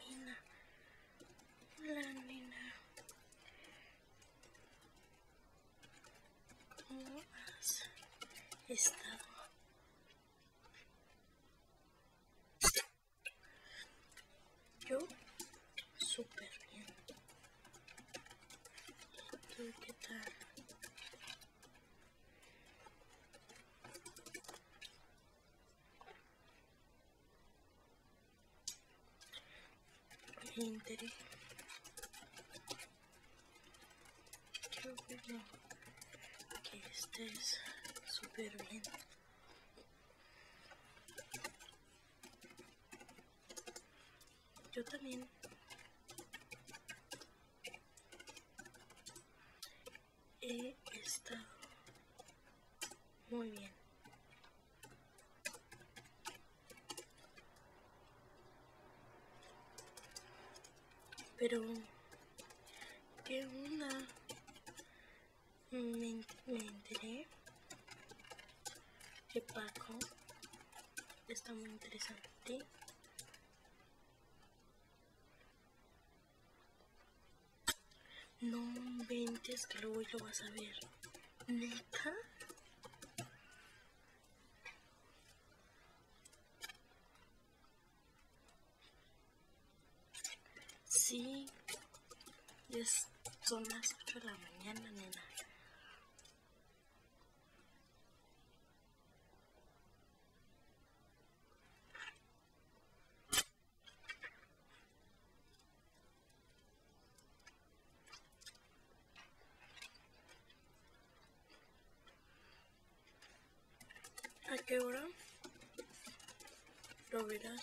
mina la mina cómo has estado? Yo, súper bien. qué tal? Interés. Creo Que estés súper bien. Yo también y está muy bien pero que una me, me Paco está muy interesante no inventes que luego lo vas a ver. ¿Neta? Sí, es, son las 8 de la mañana, nena. ¿A qué hora? Lo verás.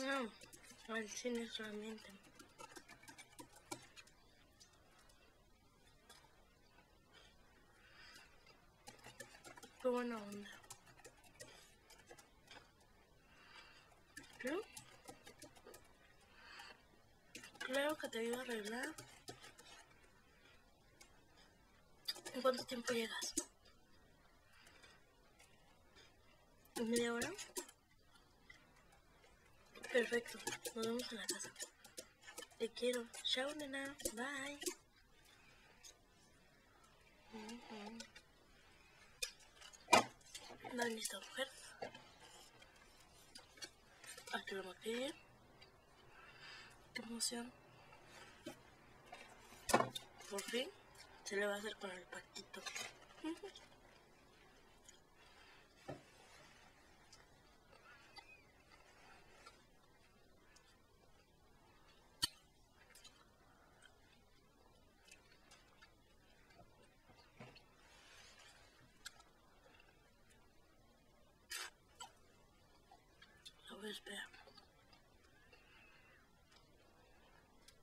No, al cine solamente. Qué buena Creo, creo que te iba a arreglar. ¿En cuánto tiempo llegas? media hora. Perfecto, nos vemos en la casa. Te quiero. Chao, nena. Bye. Dale listo, mujer. Aquí lo ir, Qué emoción. Por fin se le va a hacer con el patito. espera.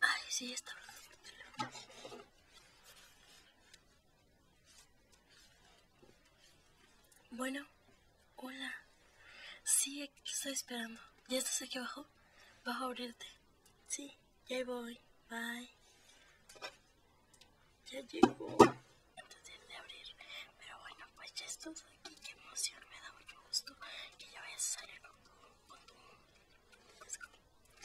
Ay, sí, está Bueno, hola. Sí, estoy esperando. ¿Ya estás aquí abajo? Bajo a abrirte. Sí, ya voy. Bye. Ya llegó. Antes de abrir. Pero bueno, pues ya estamos aquí. Qué emoción. Me da mucho gusto que ya vayas a salir con tu... Con tu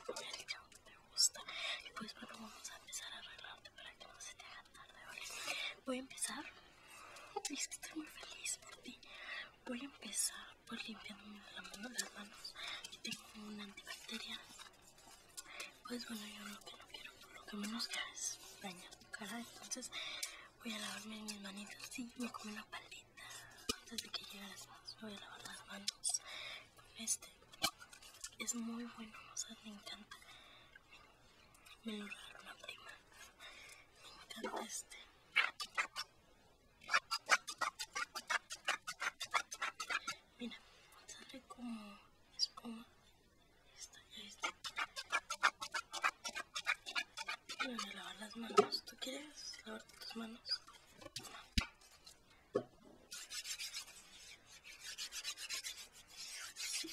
con que te gusta. Y pues bueno, vamos a empezar a arreglarte para que no se te haga tarde, Voy a empezar. Es que estoy muy feliz por ti. Voy a empezar pues limpiándome las manos. tengo un antibacterial. Pues bueno, yo lo que no quiero, por lo que menos es dañar tu cara. Entonces voy a lavarme mis manitas. si me como una palita. Antes de que llegue a las voy a lavar las manos este. Es muy bueno, o sea, me encanta. Me lo robaron la prima. Me encanta este. Mira, sale como espuma. Esta, está, Me voy a lavar las manos. ¿Tú quieres lavar tus manos? Sí.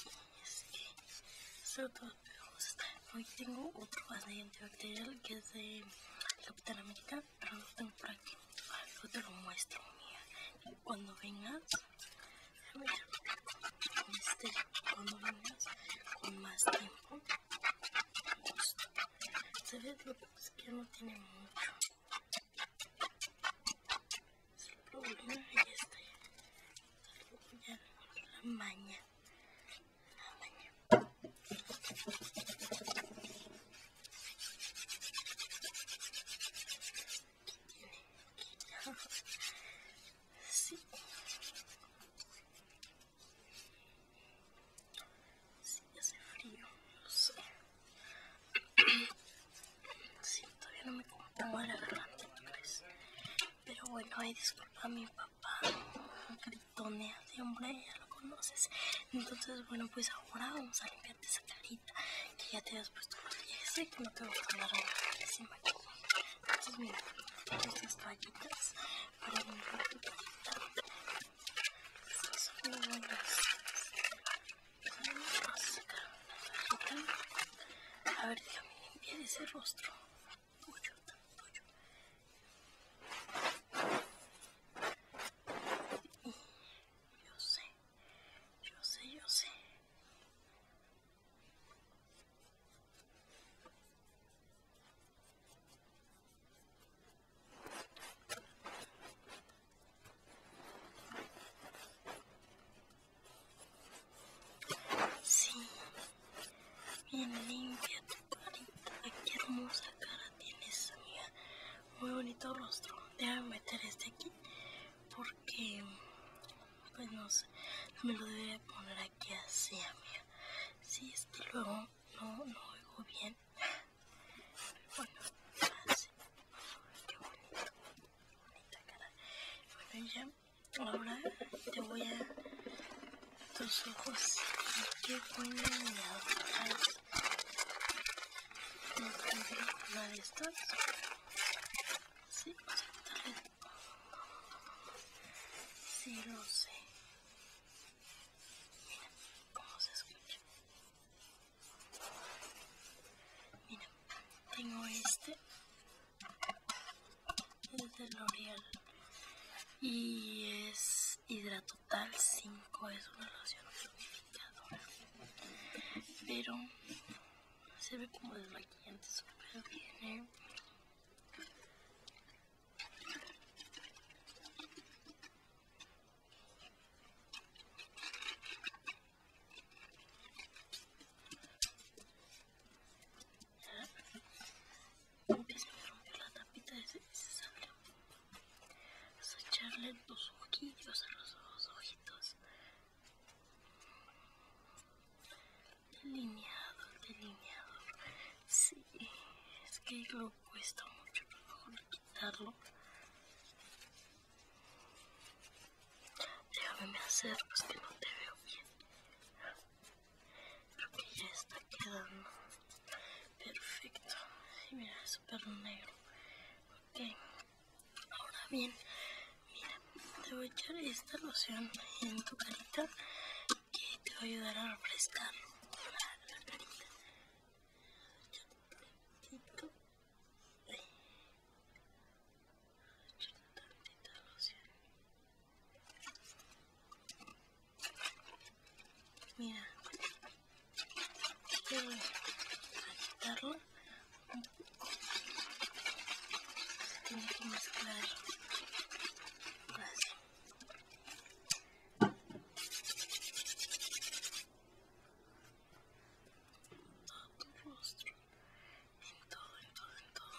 Sobre todo pegajosa. Hoy tengo otro base antibacterial que es de Capitán América, tengo por aquí. Yo ah, te lo muestro, mía. Y cuando vengas, a ver, este, cuando vengas con más tiempo, justo. Se ve lo que es que no tiene mucho. Es el problema, ahí está. Ya, la maña. Sí, sí, hace frío, lo sé. Sí, todavía no me como a la garganta, Pero bueno, hay disculpa a mi papá una caritonea de hombre, ya lo conoces. Entonces, bueno, pues ahora vamos a limpiarte esa carita. Que ya te has puesto los pies y que no te vas a que encima carita. Entonces, mira, estas toallitas para limpiar tu carita. Estas son muy Vamos a ver una toallita. A ver, déjame limpiar ese rostro. Tuyo, tuyo yo sé, yo sé, yo sé. Sí, bien limpia qué hermosa cara tienes, amiga. Muy bonito rostro. Déjame meter este aquí porque, pues no sé, me lo debe poner aquí así, amiga. Si es que luego no, no oigo bien. Bueno, así. Qué bonito. Bonita cara. Bueno, ya, ahora te voy a tus ojos que ponen de los o sea Sí, exactamente. Sí, lo sé. Mira cómo se escucha. Mira, tengo este. Es de L'Oreal. Y es hidratotal 5 es una loción tonificadora pero se ve como desmaquillante súper bien ¿eh? Empiezo a romper la tapita de ese, ese Vas a echarle los ojillos a los, ojitos. Delineador, delineador. Sí, es que lo cuesta mucho mejor quitarlo. Déjame me pues que no te veo bien. Creo ya está quedando perfecto. Y mira, es súper negro. Ok. Ahora bien, mira, te voy a echar esta loción en tu carita que te va a ayudar a refrescar la carita. un un Mira, quiero quitarlo un poco. Se tiene que mezclar así. Todo tu rostro, en todo, en todo, en todo.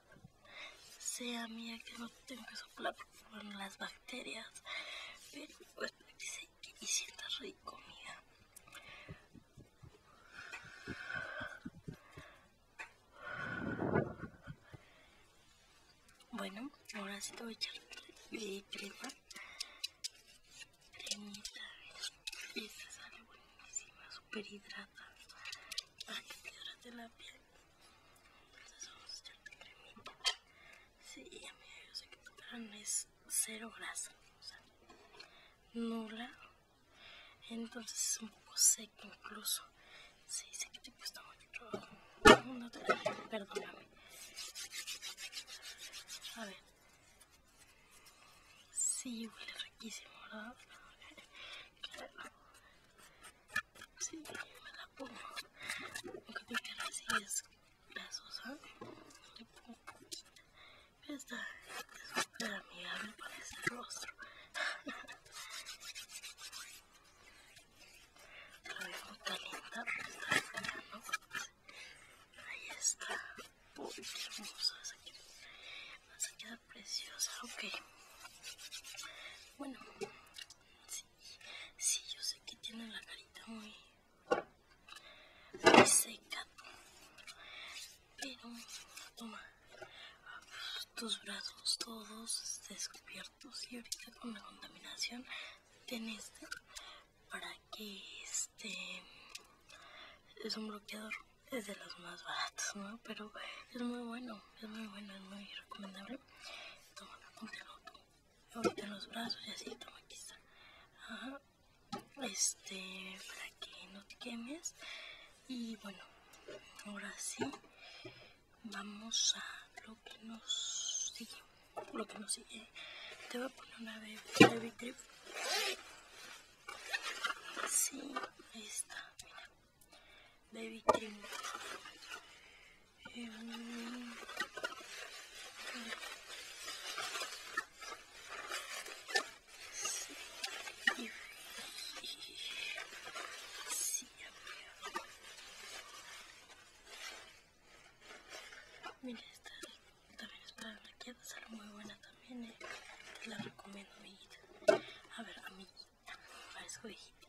sea mía que no tengo que soplar por las bacterias, pero pues para que se rico, mía. Bueno, ahora sí te voy a echar de crema. Y esta sale buenísima, super hidrata. Para que te hidrate la piel vamos vamos a están cremita. Sí, a mí yo sé que tu no es cero grasa, o sea, nula. Entonces es un poco seco incluso. Sí, sé que te cuesta mucho trabajo. perdóname. A ver. Sí, huele riquísimo, ¿verdad? si, me la pongo. Lo que me queda así es grasosa. Le pongo un poquito. Pero está súper amigable parece el rostro. Lo dejo caliente, está linda Ahí está. Uy, hermosa. Se queda preciosa, ok. Bueno, Sí, yo sé que tiene la carita muy, seca. Pero, toma tus brazos todos descubiertos y ahorita con la contaminación ten este para que este es un bloqueador es de los más baratos no pero es muy bueno es muy bueno es muy recomendable toma Toma, póntelo, póntelo los brazos y así, toma, aquí está. Este, para que no te quemes. Y bueno, ahora sí, vamos a lo que nos sigue. Lo que nos sigue. Te voy a poner una vez de trip. Sí, ahí está, mira baby vitrina. Em, mira, esta también es para la maquillaje, sale muy buena también, eh, te la recomiendo amiguita. A ver, amiguita parezco viejita.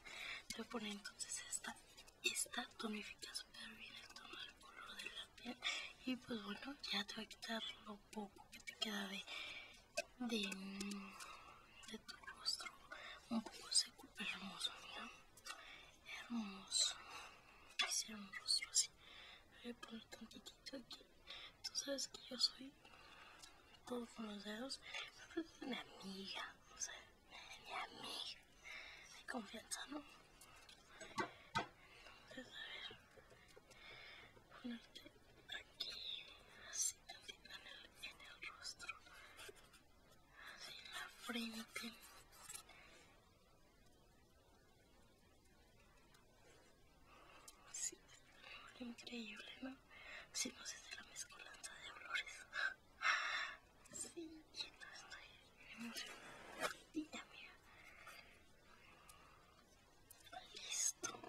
Te voy a poner entonces esta. Esta tonifica súper bien el tono del color de la piel. Y pues bueno, ya te voy a quitar lo poco que te queda de, de, tu rostro. Un poco seco, pero hermoso, mira. Hermoso. Es un así. Voy a poner tantitito aquí. Tú sabes que yo soy todo con los dedos. una amiga, me venía a mí de confianza, ¿no? Entonces, a ver, ponerte aquí, así en el, rostro, así en la frente. Así, increíble, ¿no? Si no se hace la mezcolanza de olores. Sí, no estoy emocionada. Y también. Listo.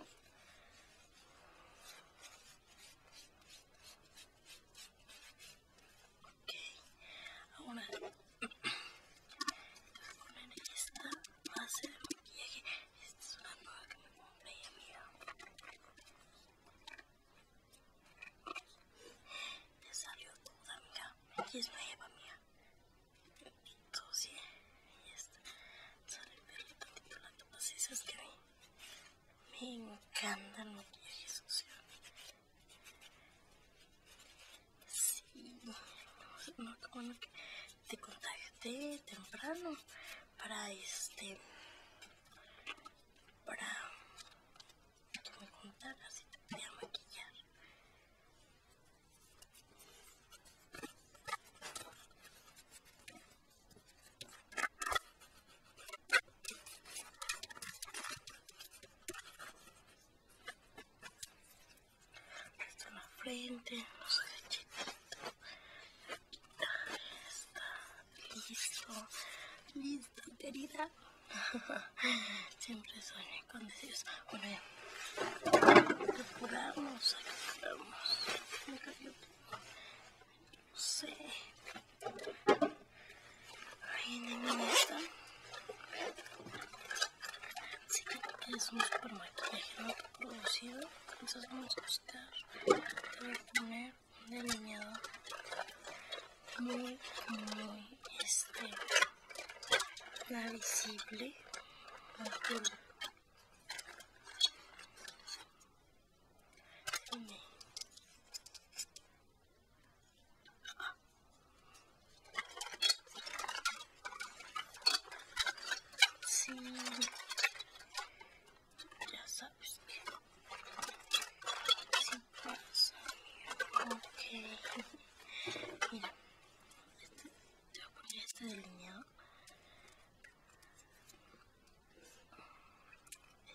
Ok. Ahora voy a poner esta base de maquillaje. Esta es una cosa que me compré, amiga. Ya salió toda, mira. Aquí es nueva, mira. ¿sí? Y esta. Sale el perrito titulando. titulado así? es que me, me encanta el maquillaje social Sí. No, bueno que te contacté temprano para este para que me contaras así te maquillar. Esta la frente, los no sé, quitar esta, Listo, listo, querida. Siempre sueño con deseos. Bueno, que Apuramos, apuramos. Me cayó No sé. Ahí en el está. Sí que es un super maquillaje no producido. Entonces vamos a buscar. voy a poner delineado muy, muy, este, visible ya sabes si pasa okay. mira este, te voy a poner este delineado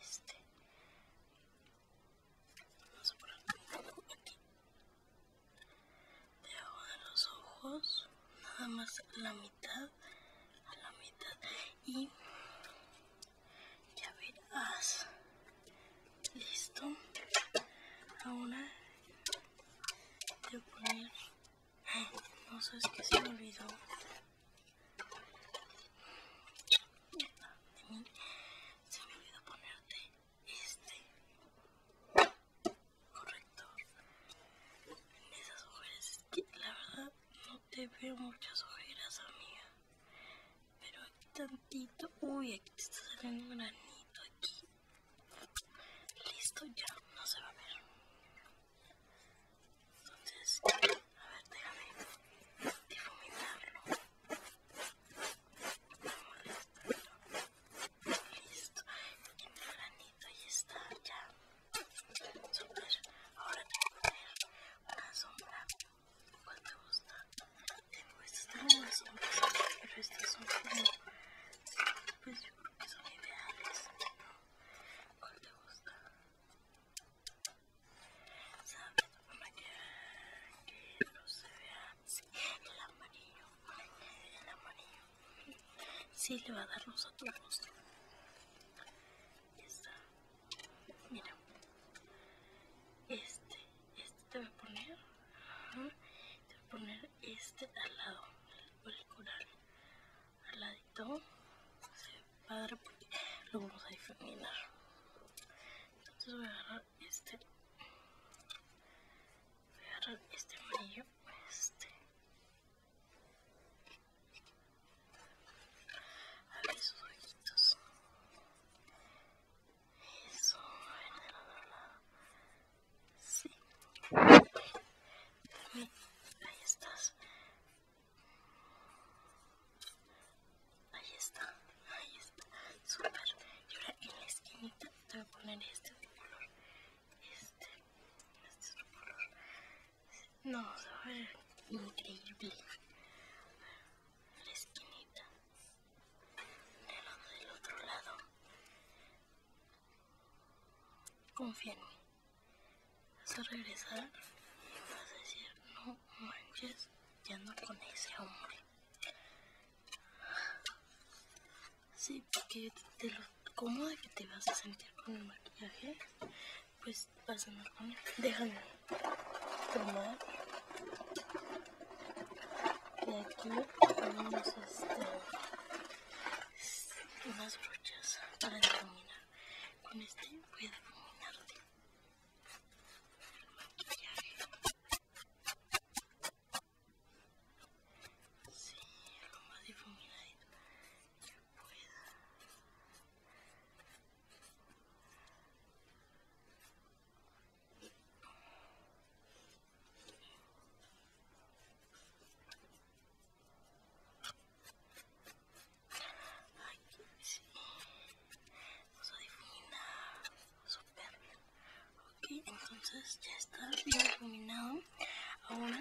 este vamos a poner aquí debajo de los ojos nada más la mitad a la mitad y ya verás listo ahora voy a poner no sé es que se me olvidó se me olvidó ponerte este correcto en esas mujeres que la verdad no te veo muchas ojeras, amiga. Pero aquí tantito. Uy, aquí te está saliendo un granito aquí. Listo, ya, no se va a ver. Entonces, a ver, déjame difuminarlo. Listo. Listo. El granito ahí está, ya. Ahora tengo que poner una sombra. ¿Cuál te gusta? Tengo estas sombras, pero estas son como. Pues yo creo que son ideales. ¿Cuál te gusta? ¿Sabes? Para que no se vea el amarillo. El amarillo. Sí, le va a dar luz a tu rostro. Ya está mira este este te voy a poner te voy a poner este al lado el, el coral al ladito se ve padre porque lo vamos a difuminar entonces voy a agarrar este voy a agarrar este amarillo este a ver sus ojitos. Eso, en el otro lado. Sí. Ahí estás. Ahí está. Ahí está. Super. Y ahora en la esquinita te voy a poner este otro color. Este. Este otro color. No, a ver increíble. La esquinita. del otro lado. Confía en mí. Vas a regresar y vas a decir, no manches, ya no con ese hombre. Sí, porque te lo cómoda que te vas a sentir con el maquillaje, pues una comida, déjame tomar. Y aquí ponemos este, unas brochas para difuminar. Con este voy a difuminar Sí, lo más difuminadito ahí sí. Nos adivina súper bien. Ok, entonces ya está bien iluminado. Ahora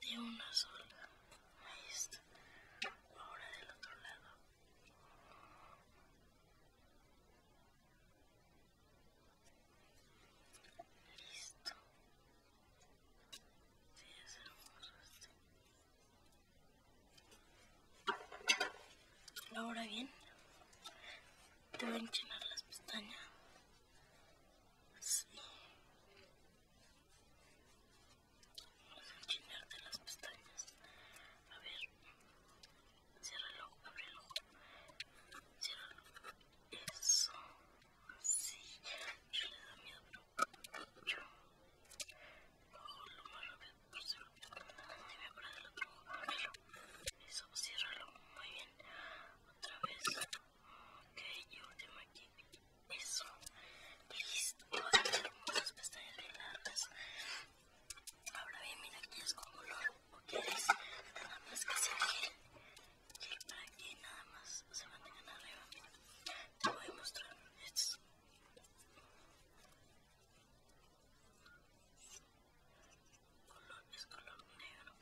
de una sola. Ahí Ahora del otro lado. Listo. es hermoso ¿La Ahora bien, te van a las pestañas. Así. Vamos a enchinarte las pestañas. A ver. Cierra el ojo, abre el ojo. Cierra el ojo. Eso. Así. Yo le da miedo, pero yo lo hago lo más rápido posible. Te voy a parar el otro ojo. Ábrelo. Eso, ciérralo. Muy bien. Otra vez. Ok, yo tengo aquí. Eso. Listo. pestañas Ahora bien, mira, que es con color. ¿O quieres nada más que seguir gel? para que nada más se mantengan arriba. Te voy a mostrar esto, color, es color negro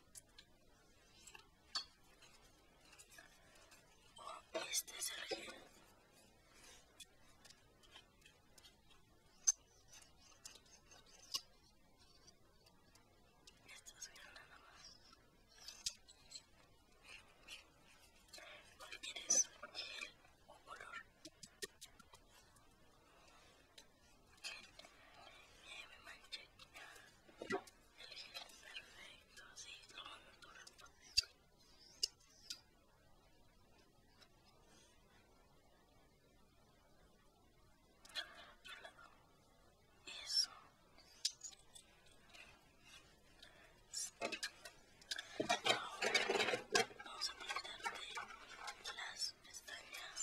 este es el esto es nada más ¿cuál quieres? gel o color? nieve, manchita, perfecto, sí, lo natural. Otro lado, eso. Ahora vamos a pintarte las pestañas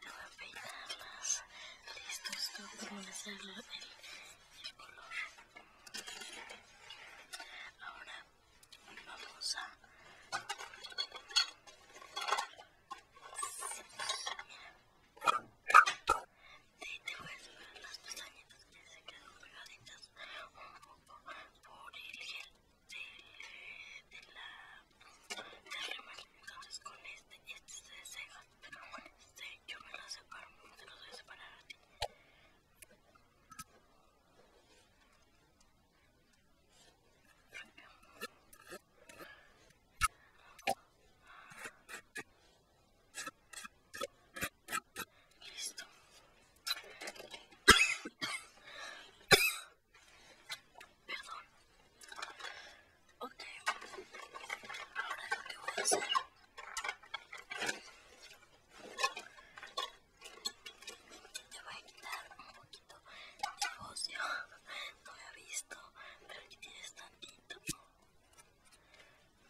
Te voy a peinarlas. Listos, voy a terminar el, color. Ahora vamos a... Sí, sí, te voy a subir las pestañitas que se quedan pegaditas un poco por el gel de, de la de remate. Entonces con este, y este se desega, pero bueno este yo me lo separo, te los voy a separar a ti. Listo. Perdón. Ok. Ahora lo que voy a hacer. Te voy a quitar un poquito de ocio No había visto, pero aquí tienes tantito.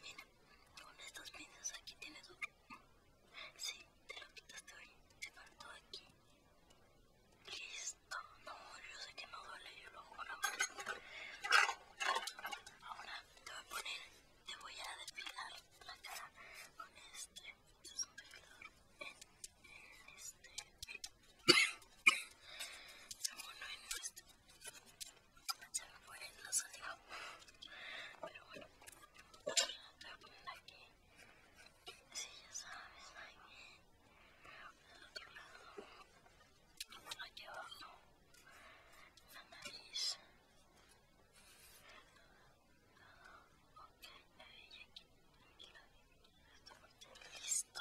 Mira, con estos pinzas aquí tienes un. Sí, te lo quitaste hoy. Te faltó aquí. Listo. No, yo sé que no duele, yo lo juro. Ahora te voy a poner, te voy a depilar la cara con este. Este es un depilador en, en este. Bueno, en este. Se me fue la saliva. Pero bueno, te voy a poner aquí. Si sí, ya sabes, Jaime, del otro lado, No aquí abajo, la nariz. Ok, que aquí, la listo.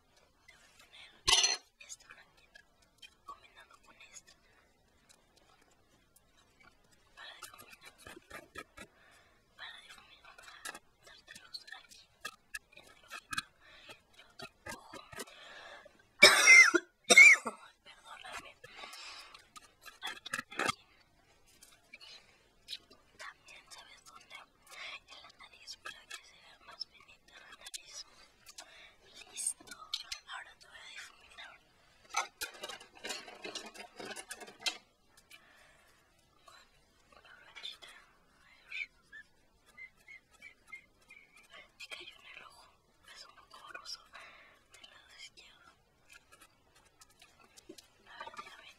voy a poner este mantita combinando con este para difuminar para difuminar para darte luz aquí en el fondo. Yo el perdóname aquí, también sabes dónde en la nariz para que se vea más bonita la nariz. Listo, ahora te voy a difuminar. Con la ver, Me cayó en el ojo, es un poco borroso del lado izquierdo. A ver,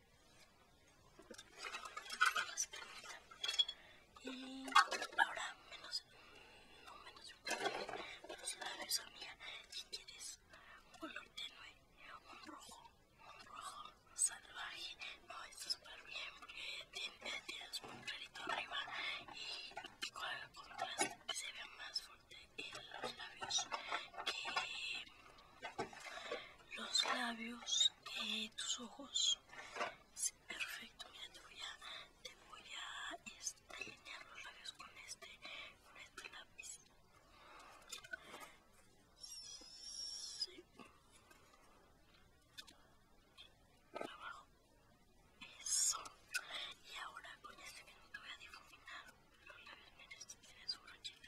y ahora menos no menos pero los labios amiga si quieres un color tenue un rojo un rojo salvaje no está súper bien porque tienes un clarito arriba y con el contraste se ve más fuerte en los labios que los labios, y tus ojos. perfecto. Mira, te voy a, te voy a este, los labios con este, con este lápiz. Abajo. Eso. Y ahora con este que te voy a difuminar los labios. Mira, este tiene su brochita.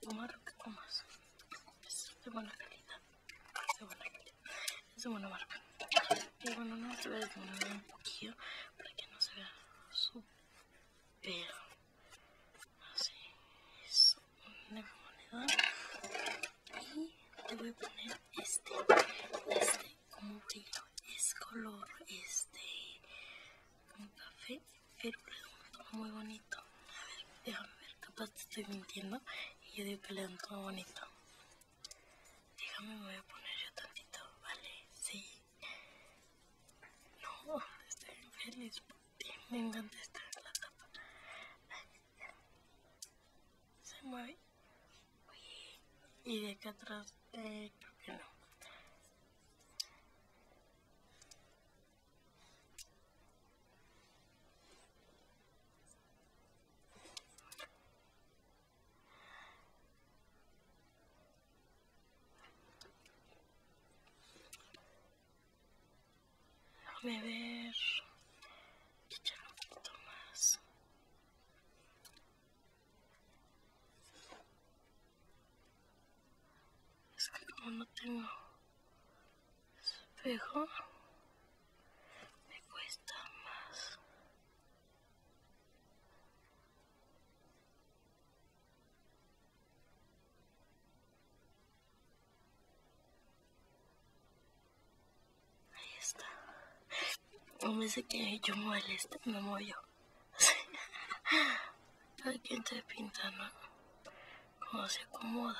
tomar tomas es de buena calidad es de buena calidad es de buena marca y bueno no te voy a desmonar un poquillo para que no se vea súper así es una moneda y te voy a poner este este como brillo es color este un café pero tomo muy bonito. A ver, déjame ver, capaz te estoy mintiendo. Y yo digo que le dan todo bonito. Déjame, me voy a poner yo tantito, ¿vale? Sí. No, estoy feliz por Me encanta estar en la tapa. Se mueve. Y de acá atrás, eh, creo que no beber echar un poquito más es que como no tengo espejo me cuesta más. Ahí está. No me sé que yo molesta, me muevo ¿A quién te pinta, no? cómo se acomoda.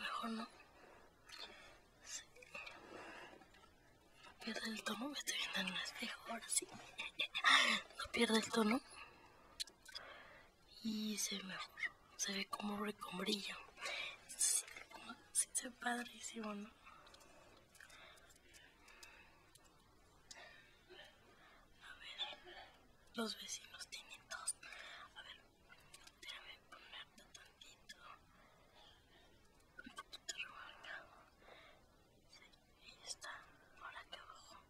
mejor no. ¿Pierde No el tono, me estoy viendo en es espejo ahora sí. no pierde el tono y se ve se ve como recombrilla. Sí, sí, se ve padrísimo, ¿no? A ver, los vecinos tienen tos. A ver, déjame ponerte tantito, un poquito remarcado. Acá Ahí está, ahora que abajo.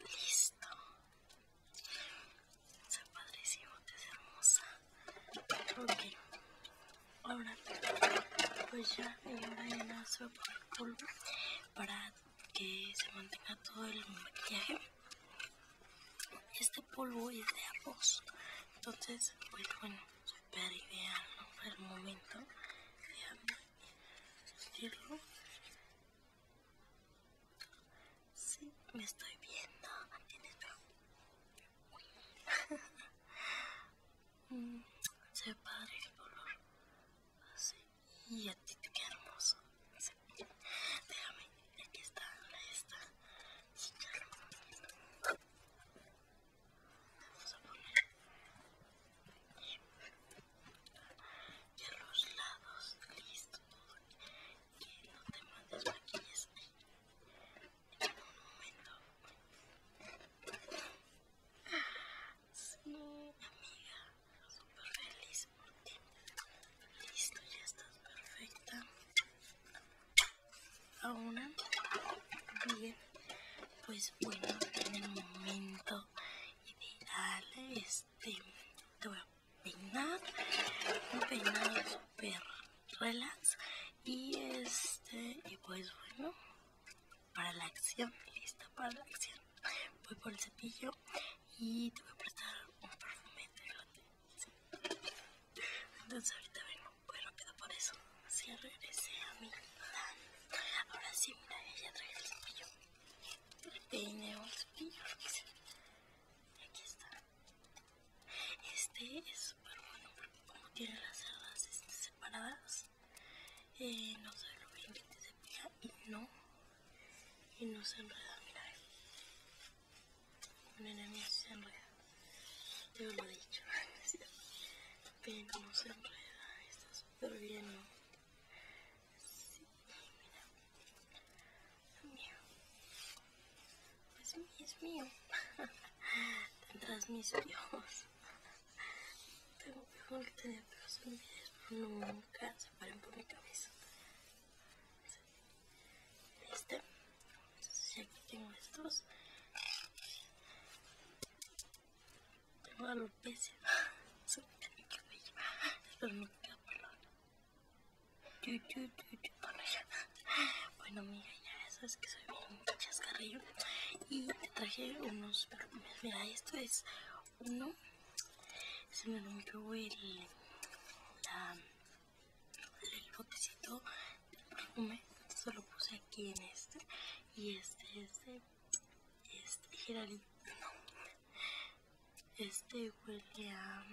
Listo. se padrísimo, te es hermosa. Ok. Ahora, pues ya le envainazo por el polvo para que se mantenga todo el maquillaje. Este polvo es de arroz. Entonces, pues bueno, súper ideal, ¿no? el momento. Déjame decirlo. Sí, me estoy viendo en el espejo. se ve padre el color. Así. Y a ti te hermoso. Sí. Déjame, aquí está, ahí está. Sí, claro vamos a poner y a los lados listo que no te mandes maquillas en un momento sí amiga super feliz por ti listo ya estás perfecta ahora bien pues bueno, en el momento ideal, este, te voy a peinar, un peinado super relax y este, y pues bueno, para la acción, lista para la acción. Voy por el cepillo y te voy a prestar un perfume de lote. Entonces ahorita vengo, voy rápido por eso. Así regresé a mi plan. Ahora sí, mira, ella trae el cepillo. Tiene el cepillo, Aquí está. Este es súper bueno porque como tiene las cerdas este, separadas, eh, no sé lo bien que te cepilla y no, y no se enreda, mira. Un enemigo se enreda. Yo lo he dicho, peine no se enreda pero súper no Sí, mira. Mío. es mío, es mío. Tendrás mis ojos Tengo peor que tener peor en nunca se paran por mi cabeza. listo Entonces aquí tengo estos tengo a los peces son Pero Bueno, mira ya sabes que soy muy chascarrillo. Y te traje unos perfumes. Mira, esto es uno. Se me rompió el, el botecito del perfume. solo lo puse aquí en este. Y este es de este, Geraldine, no. Este huele a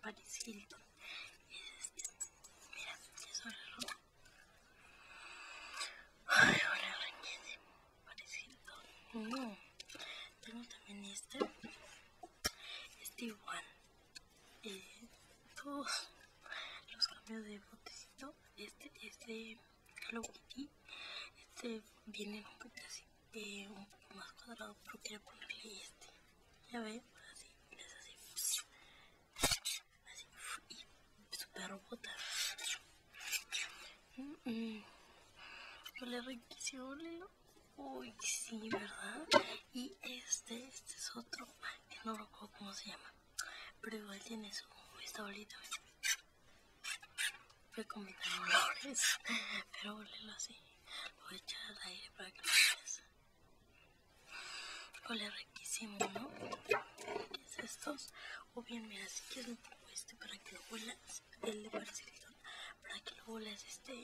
Paris Hilton. Este, mira, es huele rojo. Ay, huele a de Paris Hilton. No. Tengo también este. Este igual. Eh, todos los cambios de botecito. Este, de Hello Este viene un poquito así, un poco más cuadrado, pero quiero ponerle este. Ya ven, así, les así, y super robota. Mmm. riquísimo, Uy, sí, ¿verdad? Y este, este es otro, que no recuerdo cómo se llama. Pero igual tiene su esta fue como olores, pero olelo así. Lo voy a echar al aire para que lo veas. riquísimo, ¿no? ¿Qué es estos? O bien, mira, si quieres un poco este para que lo huelas, el de Barcelona, para que lo huelas este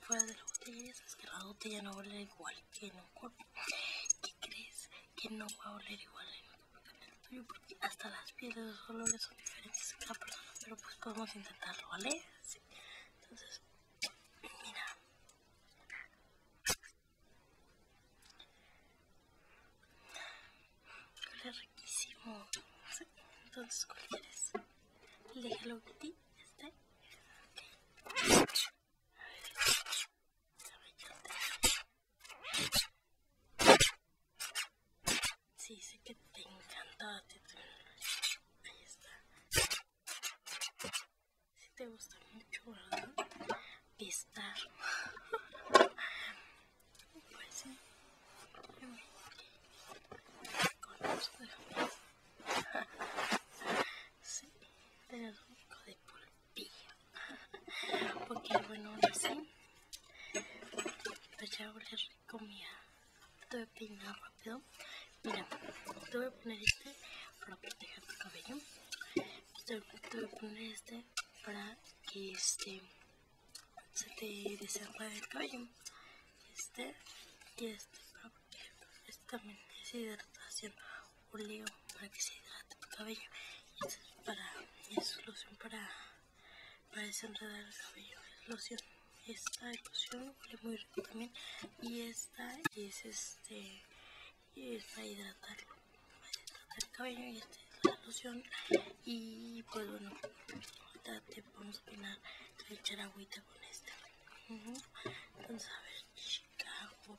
fuera de la botella. Ya que la botella no huele igual que en un cuerpo. ¿Qué crees? que no va a oler igual hasta las pieles, los olores son diferentes pero pues podemos intentarlo, ¿vale? Entonces, mira. riquísimo. Entonces, ¿cuál quieres? Déjalo de Hello este. Sí, sé que te encanta Ahí está. Si te gusta mucho, ¿verdad? Pistar. Pues sí. Con la pista. Sí, te lo de pulgar. Porque bueno, ahora sí. Pues ya ahora rico comida Te voy a peinar rápido. Mira, te voy a poner este para proteger tu cabello. Te, voy a poner este para que este se te desarrolle el cabello. Este y este para proteger. Este también es hidratación para que se hidrate tu cabello. Y es para, es loción para, para desenredar el cabello. Es loción. Esta loción huele muy rico también. Y esta es este Y es para hidratar el cabello y esta es la loción. Y pues bueno, ahorita te vamos a echar agüita con esta. Vamos a ver, Chicago.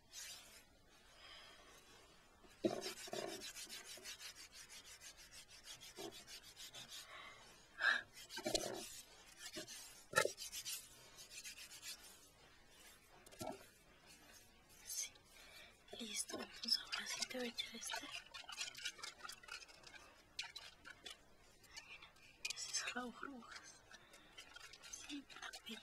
Sí. Listo, entonces ahora sí te voy a echar este. Mira, esas burbujas. Sí, apenas.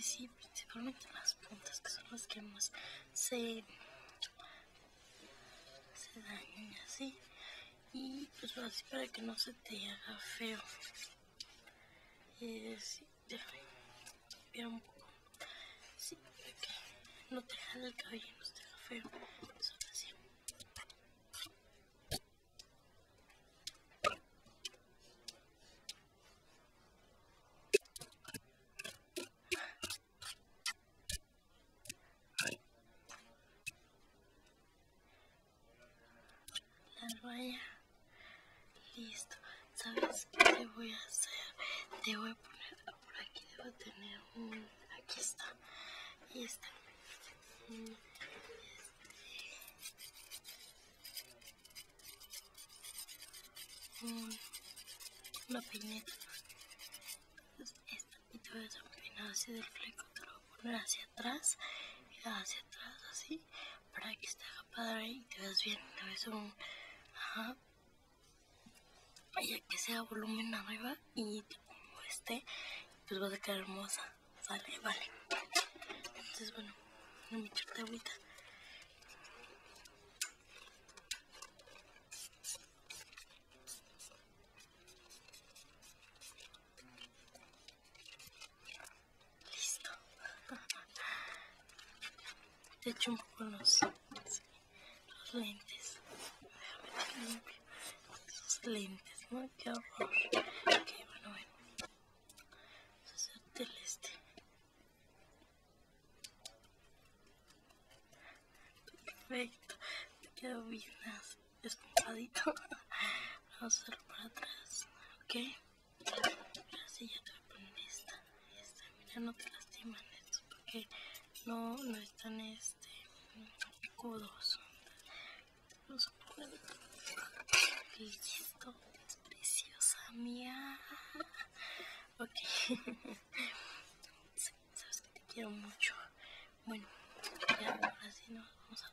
sí principalmente las puntas que son las que más se, se dañan así y pues así para que no se te haga feo déjame ver un poco. Sí, para no te jale el cabello, no te esté feo. Solo así. La vaya Listo, ¿sabes qué voy a hacer? Te voy a poner, por aquí debo tener un, aquí está, y está. Mm, este. Un, una peineta. Esta, y te voy a hacer un peinado así del fleco, te lo voy a poner hacia atrás, y hacia atrás así, para que esté padre y te veas bien, te ves un, ajá, Vaya, que sea volumen arriba y como este pues va a quedar hermosa sale vale entonces bueno no me echarte agüita listo te echo un poco los los lentes. Déjame esos lentes, ¿no? Qué horror. Ok, bueno, bueno. Vamos a hacerte el este. Perfecto. Te quedó bien esponjadito. Vamos a hacerlo para atrás, ¿ok? ya te con esta, esta, mira no te lastiman estos porque no, no están este picudos los listo es preciosa mía ok sabes que te quiero mucho bueno ya ahora nos vamos a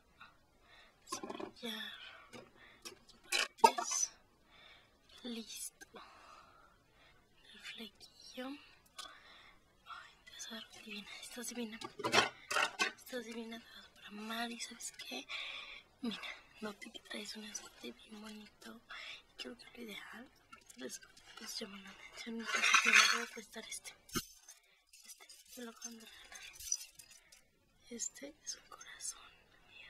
cepillar las partes listo el flequillo. Ay, tesoro, divina, estás divina. Estás divina, te para amar y ¿sabes qué? Mira, noté que traes un escote bien bonito. Y creo que lo ideal, les escote, pues, llama la atención. No me voy a prestar este. Este, me lo acaban de regalar. Este es un corazón, mía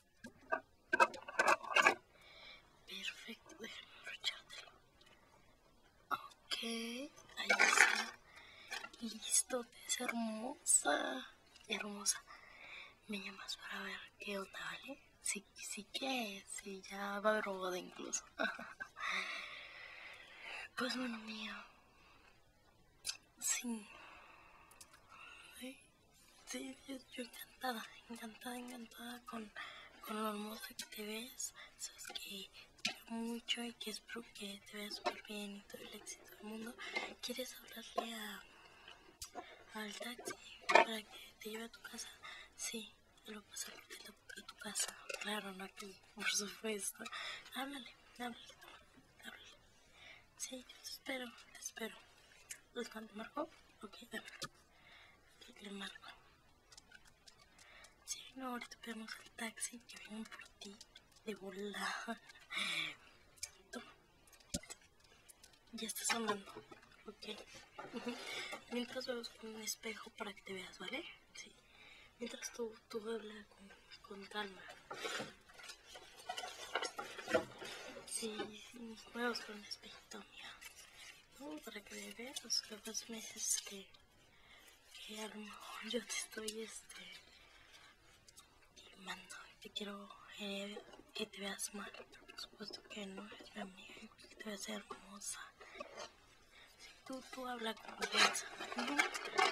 Perfecto, déjame abrochártelo. Ok, ahí está. Listo, es hermosa. Hermosa. Me llamas para ver qué otra ¿vale? Sí, sí que sí, ya va a robada incluso. pues bueno, mío. Sí. ¿Sí? Sí, yo, encantada, encantada, encantada con, lo hermosa que te ves. Sabes que te quiero mucho y que espero que te veas súper bien y todo el éxito del mundo. ¿Quieres hablarle a, al taxi para que te lleve a tu casa? Sí, te lo pasaré a tu casa. Claro, no aquí, por supuesto. Háblale, háblale, háblale. Sí, espero, espero. los cuando marco? Ok, dame. le marco. Sí, no, ahorita pedimos el taxi que viene por ti de volada. Ya estás sonando. Ok. Mientras vemos con un espejo para que te veas, ¿vale? Sí. Mientras tú, tú habla con calma. Sí, mis juegos con mía. ¿no? Para que le veas los que me dices que, que a lo mejor yo te estoy este, quemando te quiero eh, que te veas mal. Por supuesto que no es mi amiga, que te veas hermosa. Si tú, tú habla con ella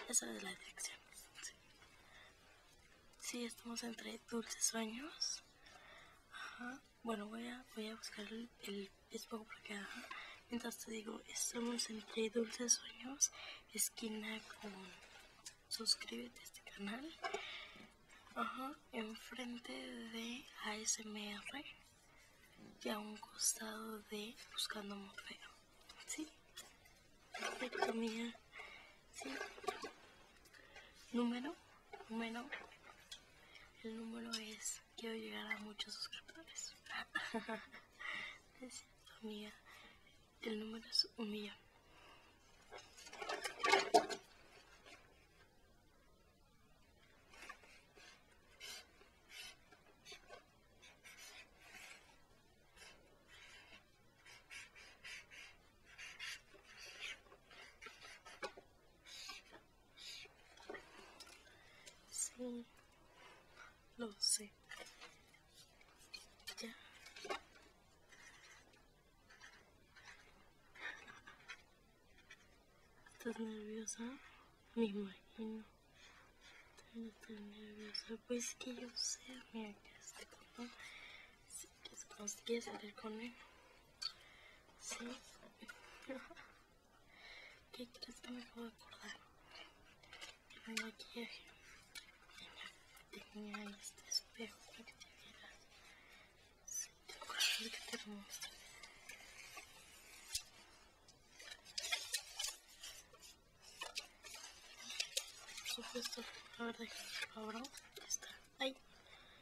Esa es la dirección. Si, estamos entre dulces sueños. Bueno, voy a, buscar el, Es poco por acá. Mientras te digo, estamos entre dulces sueños, esquina con suscríbete a este canal. Ajá. Enfrente de ASMR y a un costado de Buscando Morfeo. Sí. Perfecto, mía. ¿sí? Número, número. El número es, quiero llegar a muchos suscriptores. es mía. El número es un millón. Sí, lo sé. Ya. ¿Estás nerviosa? Me imagino. estás nerviosa. Pues que yo sé, mira que este papá que pues, como si quieres salir conmigo. Sí. ¿Qué crees que me acabo de acordar? Mira, maquillaje. Tenía, este espejo que te Sí, tengo que te